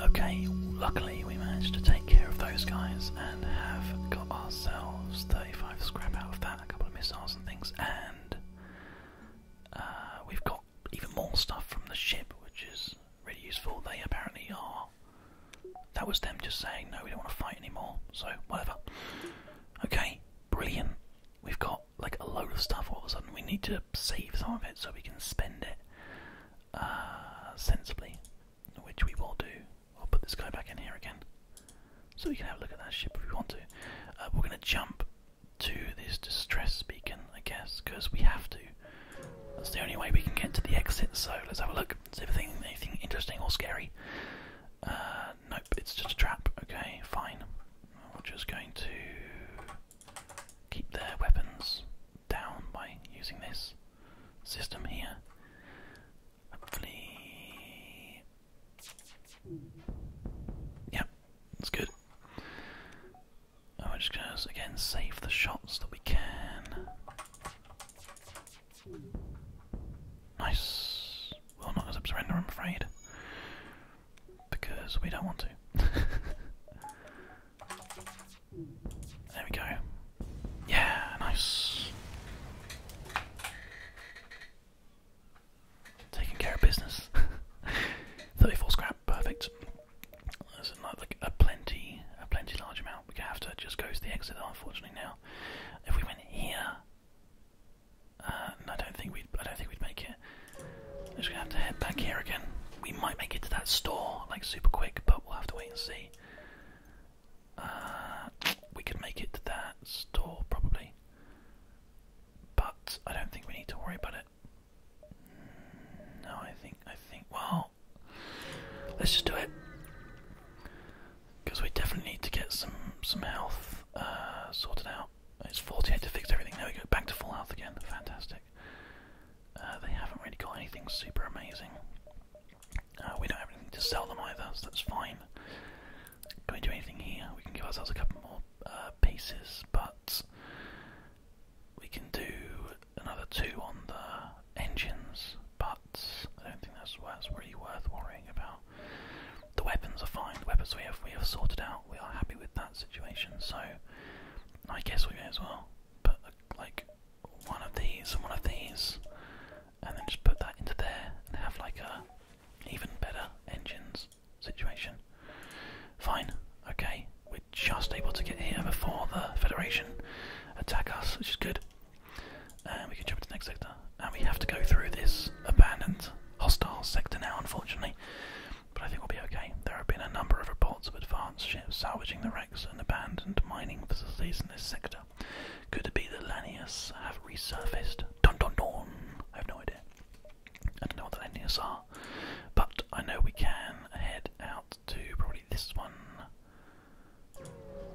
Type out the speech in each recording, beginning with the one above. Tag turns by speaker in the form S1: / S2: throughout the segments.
S1: Okay, luckily we managed to take care of those guys and have got ourselves 35 scrap out of that, a couple of missiles and things, and uh, we've got even more stuff from the ship, which is really useful. They apparently are. That was them just saying, no, we don't want to fight anymore, so whatever. Okay, brilliant. We've got like a load of stuff all of a sudden. We need to save some of it so we can spend it uh, sensibly, which we will do. I'll put this guy back in here again so we can have a look at that ship if we want to. Uh, we're going to jump to this distress beacon, I guess, because we have to. That's the only way we can get to the exit, so let's have a look, Is if anything interesting or scary uh, nope, it's just a trap. Okay, fine. We're just going to keep their weapons down by using this system here. Hopefully. Yep, that's good. we're just going to, again, save the shots that we can. Nice. Well, not as a surrender, I'm afraid. Because we don't want to. there we go. Yeah, nice. Taking care of business. 34 scrap, perfect. There's not like a plenty, a plenty large amount. We are have to just go to the exit, unfortunately. Now, if we went here, uh, I don't think we'd. I don't think we'd make it. I'm just gonna have to head back here again. We might make it to that store like super quick, but we'll have to wait and see. Uh, we could make it to that store probably, but I don't think we need to worry about it. No, I think I think well, let's just do it because we definitely need to get some some health uh, sorted out. It's 48 to fix everything. There we go, back to full health again. Fantastic. Uh, they haven't really got anything super amazing. Uh, we don't have anything to sell them either, so that's fine. Can we do anything here? We can give ourselves a couple more pieces, but we can do another two on the engines, but I don't think that's, that's really worth worrying about. The weapons are fine. The weapons we have we have sorted out. We are happy with that situation. So I guess we may as well put like one of these and one of these, and then just put that into there and have like a even better engines situation. Fine. Okay. We're just able to get here before the Federation attack us, which is good. And we can jump into the next sector. And we have to go through this abandoned, hostile sector now, unfortunately. But I think we'll be okay. There have been a number of reports of advanced ships salvaging the wrecks and abandoned mining facilities in this sector. Could it be that Lanius have resurfaced? Dun dun dun! I have no idea. I don't know what the Lanius are. But I know we can head out to probably this one.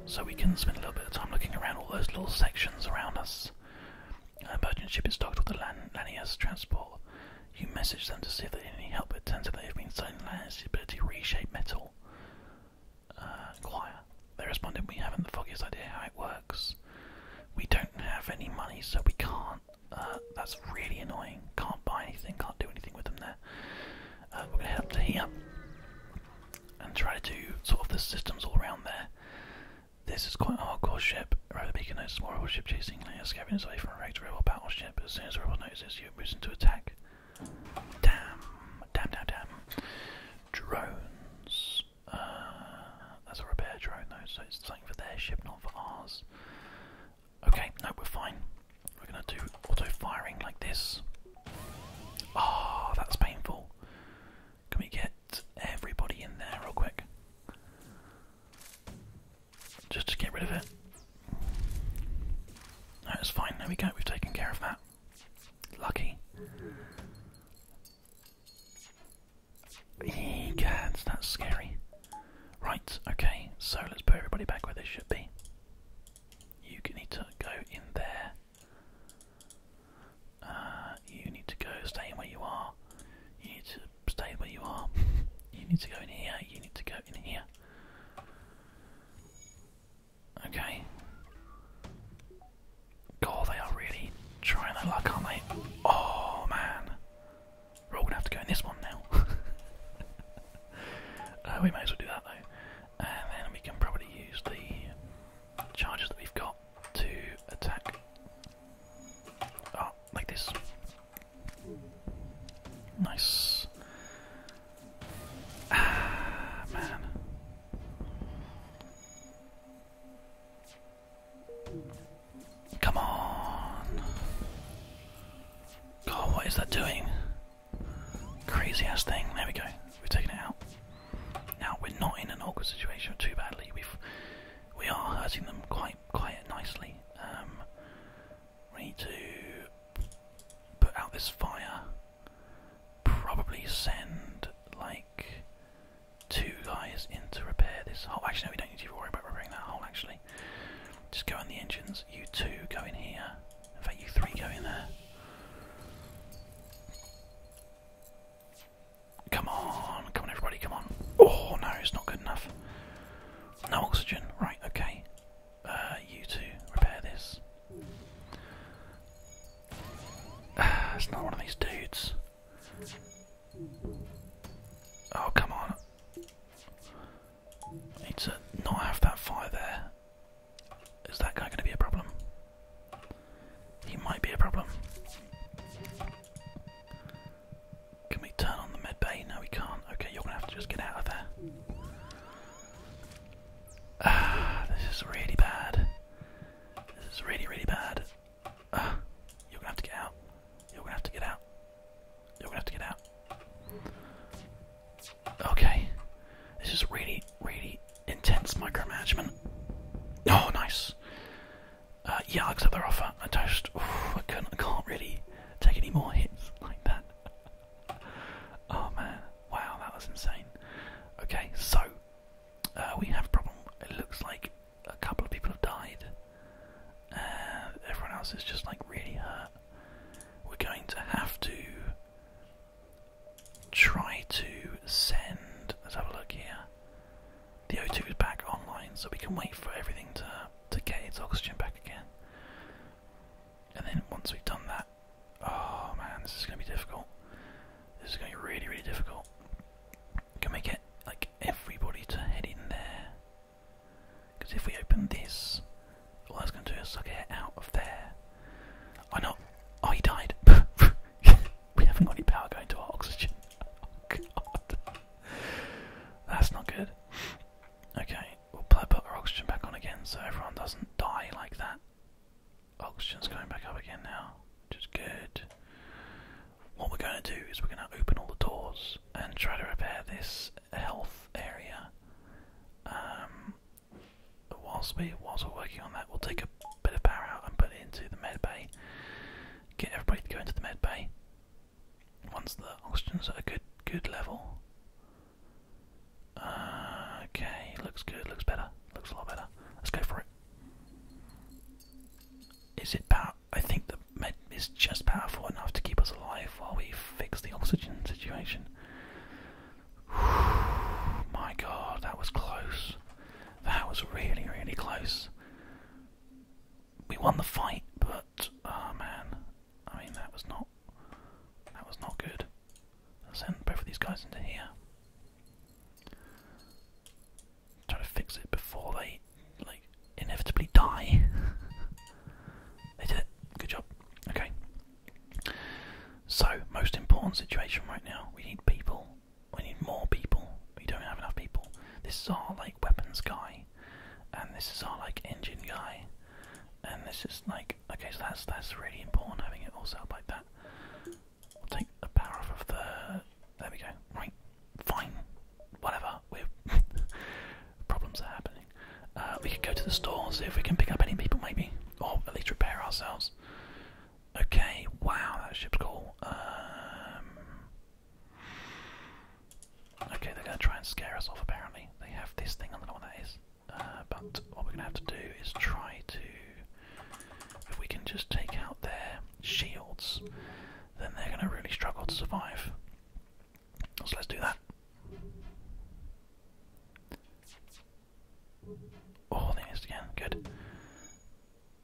S1: So we can spend a little bit of time looking around all those little sections around us. A merchant ship is docked with the Lan transport. You message them to see if they need any help, it turns out they have been selling Lanius' ability to reshape metal. Uh, choir. They responded, we haven't the foggiest idea how it works. We don't have any money, so we can't. Uh, that's really annoying. Can't buy anything, can't do anything with them there. Uh, we're going to head up to here and try to do sort of the systems all around there. This is quite a hardcore ship. Rather Beacon notices more rebel ship chasing and scabbing its way from a wrecked rebel battleship. As soon as the rebel notices you, it moves into attack. Damn, damn, damn, damn. Drones. Uh, that's a repair drone though, so it's something for their ship, not for ours. Okay, no, we're fine. We're gonna do auto firing like this. Ah, that's painful. Can we get everybody in there real quick? Just to get rid of it. That's fine, there we go, we've taken care of that. Lucky. Egads, that's scary. Right, okay, so let's put everybody back where they should be. You need to go in there. Uh, you need to go stay where you are. You need to stay where you are. you need to go in here. You need to go in here. Okay. God, they are really trying their luck, aren't they? Oh man, we're all gonna have to go in this one now. Uh, we may as well do that though, and then we can probably use the charges that we've got to attack. Oh, like this. Nice. Ah, man. Come on. God, what is that doing? Crazy ass thing. There we go. We've taken it out. Now we're not in an awkward situation too badly. we we are hurting them quite quite nicely. Um, we need to put out this fire. Probably send like two guys in to repair this hole. Actually, no, we don't need to worry about repairing that hole. Actually, just go in the engines. You two go in here. In fact, you three go in there. Come on, come on everybody, come on. Oh no, it's not good enough. No oxygen, right, okay. Uh, you two, repair this. it's not one of these dudes. Oh, come on. I need to not have that fire there. Is that guy going to be a problem? He might be a problem. Can we turn on the med bay? No, we can't. Okay, you're going to have to just get out of there. Ah, this is really bad. This is really, really bad. Ah, you're going to have to get out. You're going to have to get out. You're going to have to get out. Okay. This is really, really, intense micromanagement. Oh, nice. Uh, yeah, I'll accept their offer. I just, I, can't really take any more hits like that. oh man, wow, that was insane. Okay, so uh, we have a problem. It looks like a couple of people have died, and uh, everyone else is just like really hurt. We're going to have to try to send. Let's have a look here. The O2 is back online, so we can wait for everything to to get its oxygen back again. And then once we've done that, oh man, this is gonna be difficult. This is gonna be really, really difficult. Can we get like everybody to head in there? Because if we open this, all that's gonna do is suck air out of there. Oh no! Oh, he died. we haven't got any power going to our oxygen. Oh, that's not good. Okay, we'll put our oxygen back on again, so everyone doesn't die like that. Oxygen's going back up again now, which is good. What we're going to do is we're going to open all the doors and try to repair this health area. Um, whilst, we, whilst we're working on that, we'll take a bit of power out and put it into the med bay. Get everybody to go into the med bay. Once the oxygen's at a good, good level. Uh, okay, looks good, looks better, looks a lot better. Let's go for it. Is it power? I think the med is just powerful enough to keep us alive while we fix the oxygen situation. My god, that was close. That was really, really close. We won the fight, but oh man, I mean that was not that was not good. I'll send both of these guys into here. Try to fix it before they like inevitably die. they did it. Good job. Okay, so, most important situation right now, we need people. We need more people. We don't have enough people. This is our like weapons guy, and this is our like engine guy, and this is like okay. So that's that's really important having it all set up like that. We'll take the power off of the. There we go. Right, fine, whatever. We're problems are happening. Uh, we could go to the store see if we can pick up any people maybe, or at least repair ourselves. Okay, wow, that ship's cool. Um, okay, they're going to try and scare us off, apparently. They have this thing, on the door. that is. Uh, but what we're going to have to do is try to... If we can just take out their shields, then they're going to really struggle to survive. So let's do that. Oh, they missed again. Good.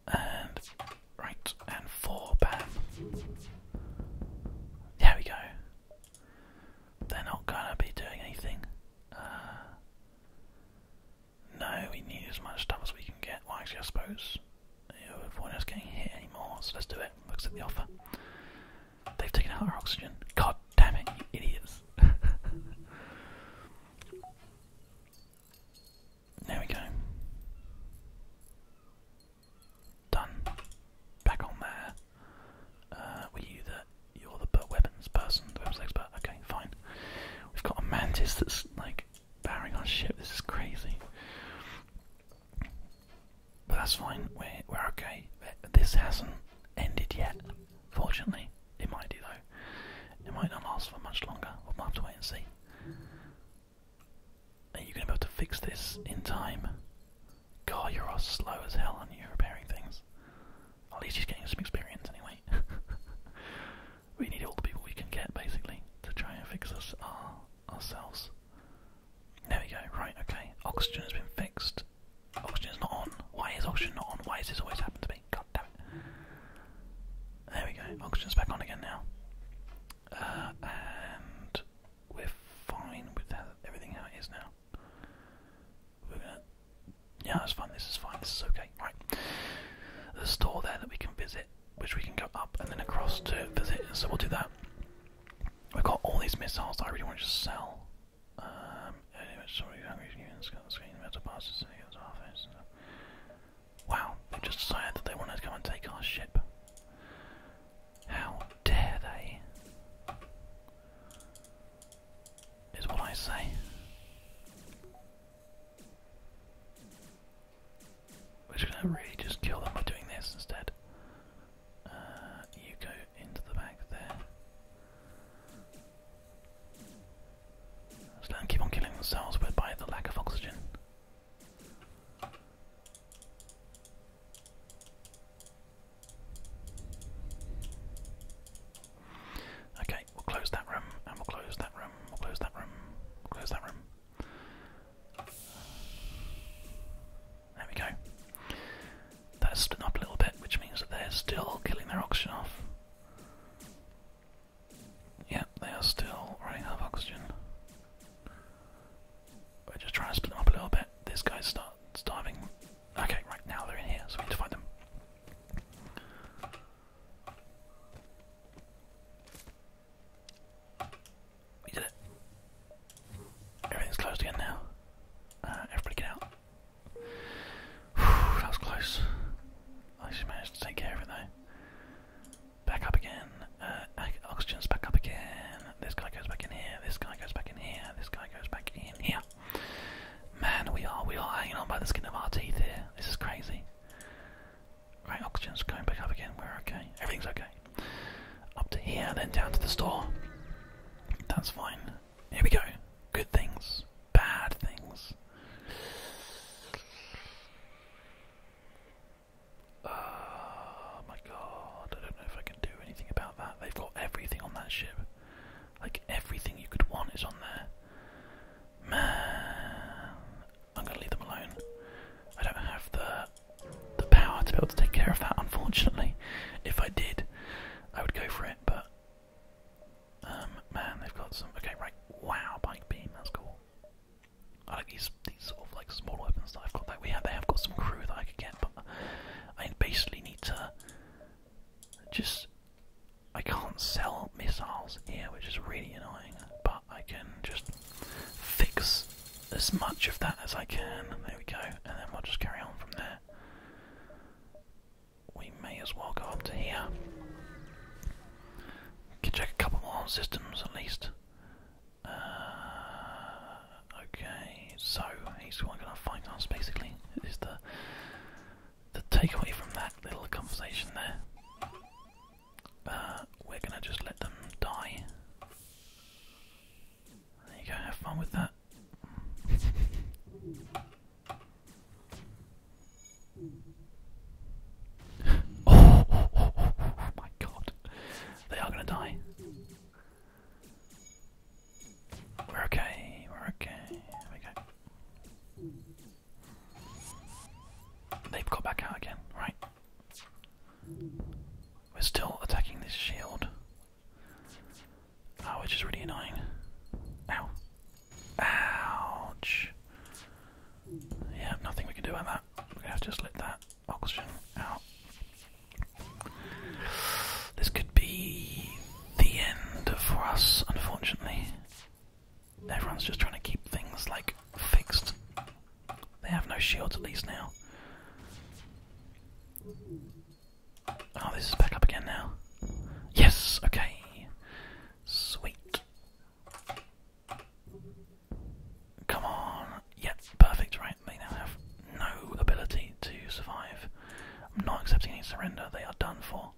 S1: And right, and four. Bam. There we go. They're not gonna be doing anything. Uh, no, we need as much stuff as we can get. Well, actually, I suppose it would avoid us getting hit anymore. So let's do it. Looks at the offer. They've taken out our oxygen. God damn idiots. there we go. Done. Back on there. Uh, were you the you're the weapons person, the weapons expert? Okay, fine. We've got a mantis that's like bearing our ship. This is crazy. But that's fine. We're we're okay. This hasn't ended yet, fortunately. It might do though. It might not last for much longer. We'll have to wait and see. Are you going to be able to fix this in time? God, you're all slow as hell on you repairing things. At least he's getting some experience anyway. we need all the people we can get basically to try and fix us our, uh, ourselves. There we go, right, okay. Oxygen has been fixed. Oxygen's not on. Why is oxygen not on? Why does this always happen to me? God damn it. There we go. Oxygen's back on again now. Uh, and we're fine with everything how now. Yeah, that's fine. This is fine. This is okay. Right. There's a store there that we can visit, which we can go up and then across to visit. So we'll do that. We've got all these missiles that I really want to just sell. Um, anyway, Wow, just decided that they wanted to come and take our ship. How dare they? Is what I say. We're gonna really just kill them by doing this instead. Uh, you go into the back there. So do keep on killing themselves by the lack of oxygen. Okay, we'll close that room, and we'll close that room, we'll close that room, we'll close that room. There we go. That's stood up a little bit, which means that they're still killing their oxygen off. Yeah, they are still running out of oxygen. We're just trying to split up a little bit. This guy's start starving. Okay, right now they're in here, so we need to find them. We did it. Everything's closed again now. Uh, everybody get out that was close. I just managed to take care of it though. Back up again. Uh, oxygen's back up again. This guy goes back in here. This guy goes back in here. This guy goes back in here. Man, we are we are hanging on by the skin of our teeth here. This is crazy. Right, oxygen's going back up again. We're okay. Everything's okay. Up to here, then down to the store. That's fine. Here we go. Good things, bad things. Oh my god, I don't know if I can do anything about that. They've got everything on that ship. Like, everything you could want is on there. Man, I'm gonna leave them alone. I don't have the the power to be able to take care of that, unfortunately. If I did, I would go for it, but um, man, they've got some. Okay, right. Wow, bike beam. That's cool. I like these these sort of like small weapons that I've got. that. we have, they have got some crew that I could get, but I basically need to just. I can't sell missiles here, which is really annoying. But I can just fix as much of that as I can. And There we go, and then we'll just carry on from there we may as well go up to here. check a couple more systems at least. Uh, okay, so he's gonna find us basically. Is the the takeaway from that little conversation there? Uh, we're gonna just let them die you go, have fun with that. oh, my god. They are gonna die. We're okay, we're okay. we go. They've got back out again, right? We're still attacking this shield. Oh, which is really annoying. Ow. Ouch. Yeah, nothing we can do about that. we have to just let that oxygen out. This could be the end for us, unfortunately. Everyone's just trying to keep things like fixed. They have no shields at least now. Oh, this is back up again now. Yes, okay. Sweet. Come on. Yep, perfect, right. They now have no ability to survive. I'm not accepting any surrender. They are done for.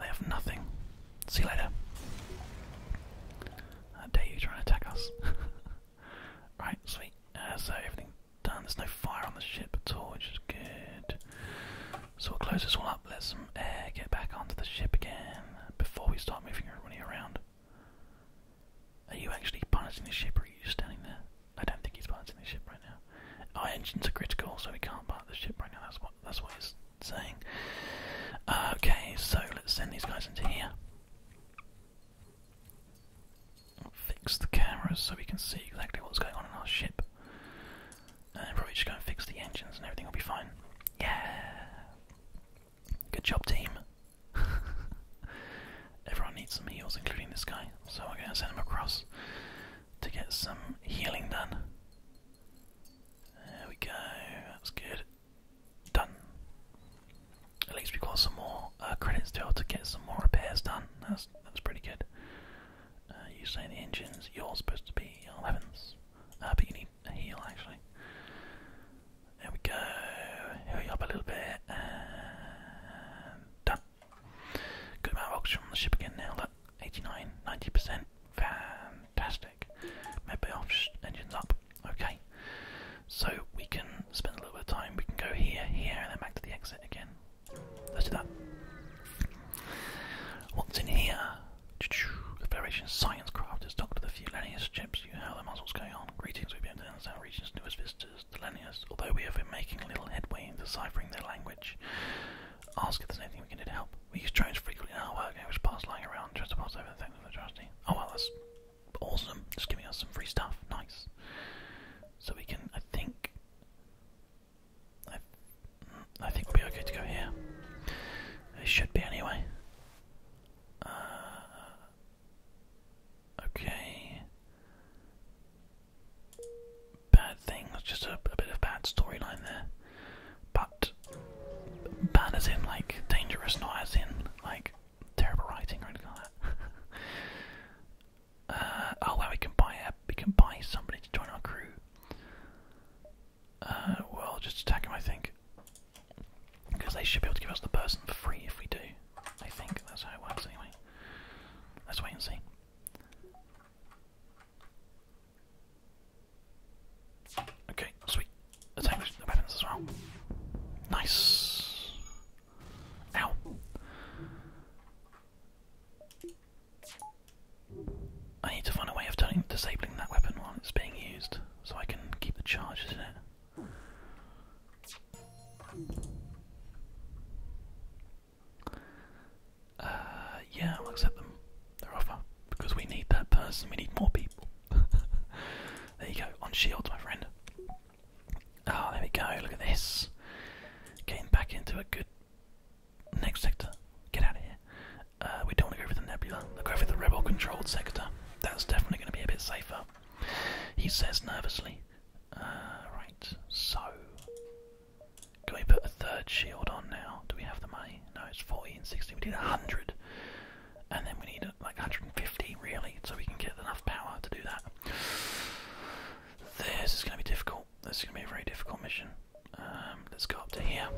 S1: They have nothing. See you later. How dare you try and attack us? right, sweet. Uh, everything Damn, there's no fire on the ship at all, which is good. So we'll close this all up, let some air get back onto the ship again before we start moving everybody around. Are you actually piloting the ship or are you just standing there? I don't think he's piloting the ship right now. Our engines are critical, so we can't pilot the ship right now, that's what that's what he's saying. Uh, okay, so let's send these guys into here fix the cameras so we can see exactly what's going on in our ship. And probably just go and fix the engines and everything will be fine. Yeah! Good job, team. Everyone needs some heals, including this guy, so I'm going to send him across to get some healing done. There we go, that's good. Done. At least we got some more uh, credits to, to get some more repairs done. That's pretty good. Uh, you say the engines, you're supposed to be 11s, uh, but you need a heel actually. There we go, hurry up a little bit, done. Good amount of oxygen on the ship again now, look, 89, 90%, fantastic. Medbay off, engines up, okay. So we can spend a little bit of time, we can go here, here, and then back to the exit again. Let's do that. What's in here? Confederation science crafters, Doctor the few Lennius ships. You know the muzzles going on. Greetings, we've been to our region's newest visitors, the Lennius. Although we have been making little headway in deciphering their language, ask if there's anything we can do to help. We use drones frequently in our work, and which parts lying around just to pass over the things of the trusty. Oh well, that's awesome. Just giving us some free stuff. Nice. So we can, I think, I, think we'll be okay to go here. It should be anyway. Uh, okay. Bad thing, that's just a bit of bad storyline there. But, bad as in, like, dangerous, not as in, like, terrible writing or anything like that. Uh, oh, well, we can buy we can buy somebody to join our crew. Uh, well, just attack him, I think, because they should be able to give us the person for free if we do. I think that's how it works, anyway. Let's wait and see. Okay, sweet. Attack the weapons as well. Nice. Ow. I need to find a way of disabling that weapon while it's being used, so I can keep the charges in it. Uh, yeah, I'll accept them. Their offer. Because we need that person, we need more people. there you go, on shields, my friend. Oh, there we go. Look at this. Getting back into a good next sector. Get out of here. Uh, we don't want to go for the nebula. I'll go for the rebel controlled sector. That's definitely going to be a bit safer. He says nervously. Uh, right, so. Can we put a third shield on now? Do we have the money? No, it's 40 and 60. We need 100. And then we need like 150 really, so we can get enough power to do that. This is going to be difficult. This is going to be a very difficult mission. Um, let's go up to here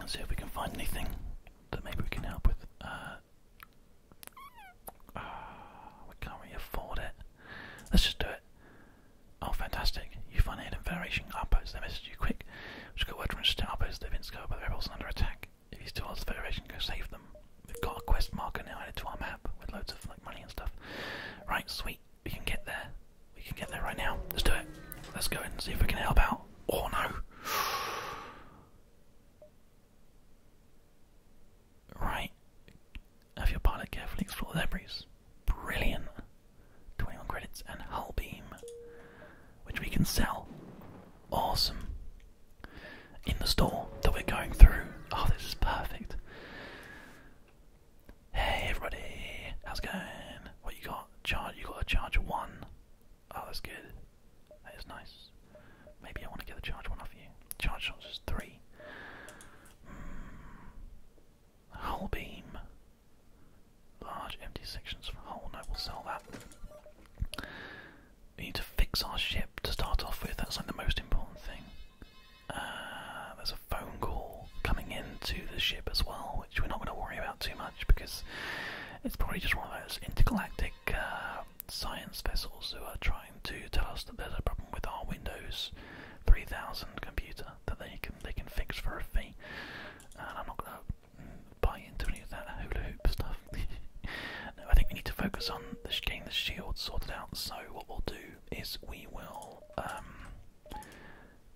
S1: and see if we can find anything that maybe we can help with. Uh, ah, we can't really afford it. Let's just do it. Oh, fantastic. You find it hidden Federation outpost. They message you quick. we Just got word from a outpost. They've been discovered by the rebels and under attack. If he's too old, the Federation go save them. We've got a quest marker now added to our map with loads of like money and stuff. Right, sweet. We can get there. We can get there right now. Let's do it. Let's go and see if we can help out. Or oh, no. Right. Have your pilot carefully explore the debris. Brilliant. 21 credits and hull beam, which we can sell awesome. In the store that we're going through. Oh, this is perfect. Hey everybody, how's it going? What you got? Charge you got a charge one. Oh that's good. That is nice. Maybe I want to get the charge one off you. Charge one is three. Mm. Hull beam. Large empty sections for hull, I will sell that. We need to fix our ship to start off with. That's like the most important thing. Uh, there's a phone call coming into the ship as well, which we're not going to worry about too much because it's probably just one of those intergalactic uh, science vessels who are trying to tell us that there's a problem with our Windows 3000 computer that they can they can fix for a fee. And I'm not going to mm, buy into any of that hula hoop stuff. I think we need to focus on getting the shield sorted out. So what we'll do is we will um,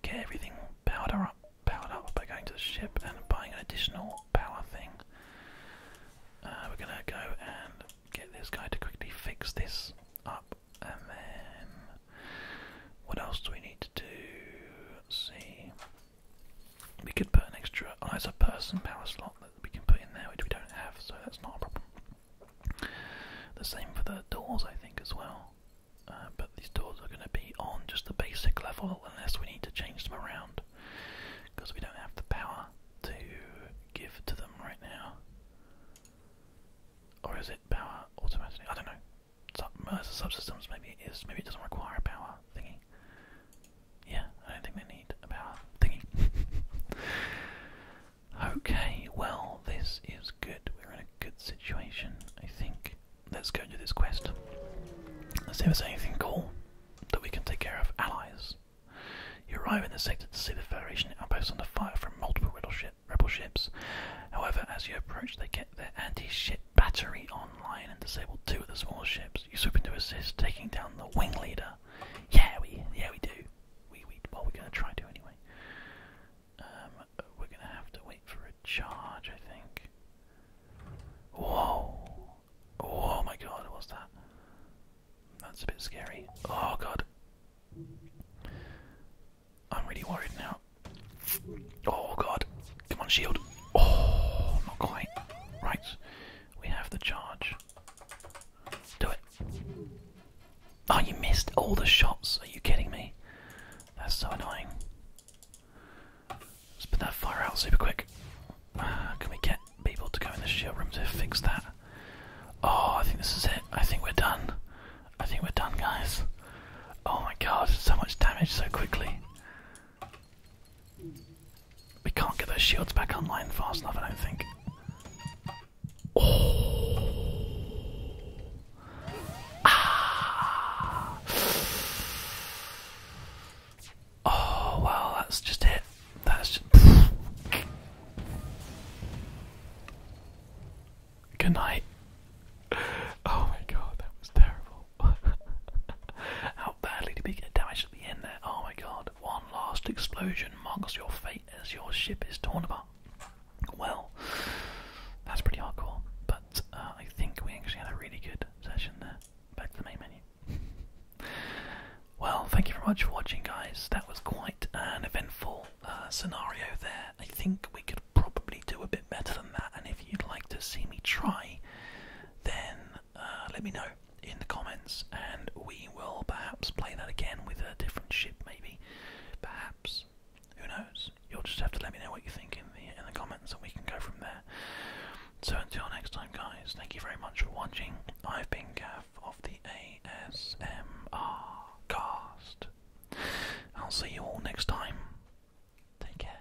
S1: get everything powered up, powered up by going to the ship and buying an additional power thing. Uh, we're gonna go and get this guy to quickly fix this up, and then what else do we need to do? Let's see. We could put an extra ISA person power slot that we can put in there, which we don't have, so that's not a problem. The same for the doors, I think, as well. Uh, but these doors are going to be on just the basic level unless we need to change them around, because we don't have the power to give to them right now. Or is it power automatically? I don't know. the uh, subsystems, maybe it is. Maybe it doesn't require power thingy. Yeah, I don't think they need a power okay, well, this is good. We're in a good situation, I think. Let's go into this quest. Let's see if there's anything cool that we can take care of. Allies. You arrive in the sector to see the Federation outposts under fire from multiple rebel ships. However, as you approach, they get their anti-ship battery online and disable two of the smaller ships. You're swoop to assist, taking down the wing leader. Yeah, we yeah we do. We we what we're gonna try to anyway. Um, we're gonna have to wait for a charge, I think. Whoa! Oh my god, what's that? That's a bit scary. Oh god. I'm really worried now. Oh god. Come on, shield. Oh, not quite. Right. We have the charge. Do it. Oh, you missed all the shots. Are you kidding me? That's so annoying. Let's put that fire out super quick. Uh, can we get people to go in the shield room to fix that? Oh, I think this is it. I think we're done. I think we're done, guys. Oh my god, so much damage so quickly. We can't get those shields back online fast enough, I don't think. Oh. Ah. Oh, wow, that's just it. That's just. Good night. Oh my god, that was terrible. badly to be damaged at the end there? Oh my god, one last explosion marks your fate as your ship is torn apart. Well, that's pretty hardcore, but uh, I think we actually had a really good session there. Back to the main menu. well, thank you very much for watching, guys. That was quite an eventful uh, scenario there. I think we could probably do a bit better than that, and if you'd like to see me try, then uh, let me know in the comments, and we will perhaps play that again with a different ship, maybe. Perhaps. Who knows? You'll just have to let me know what you think in the, in the comments, and we can go from there. So until next time, guys, thank you very much for watching. I've been Gav of the ASMR Cast. I'll see you all next time. Take care.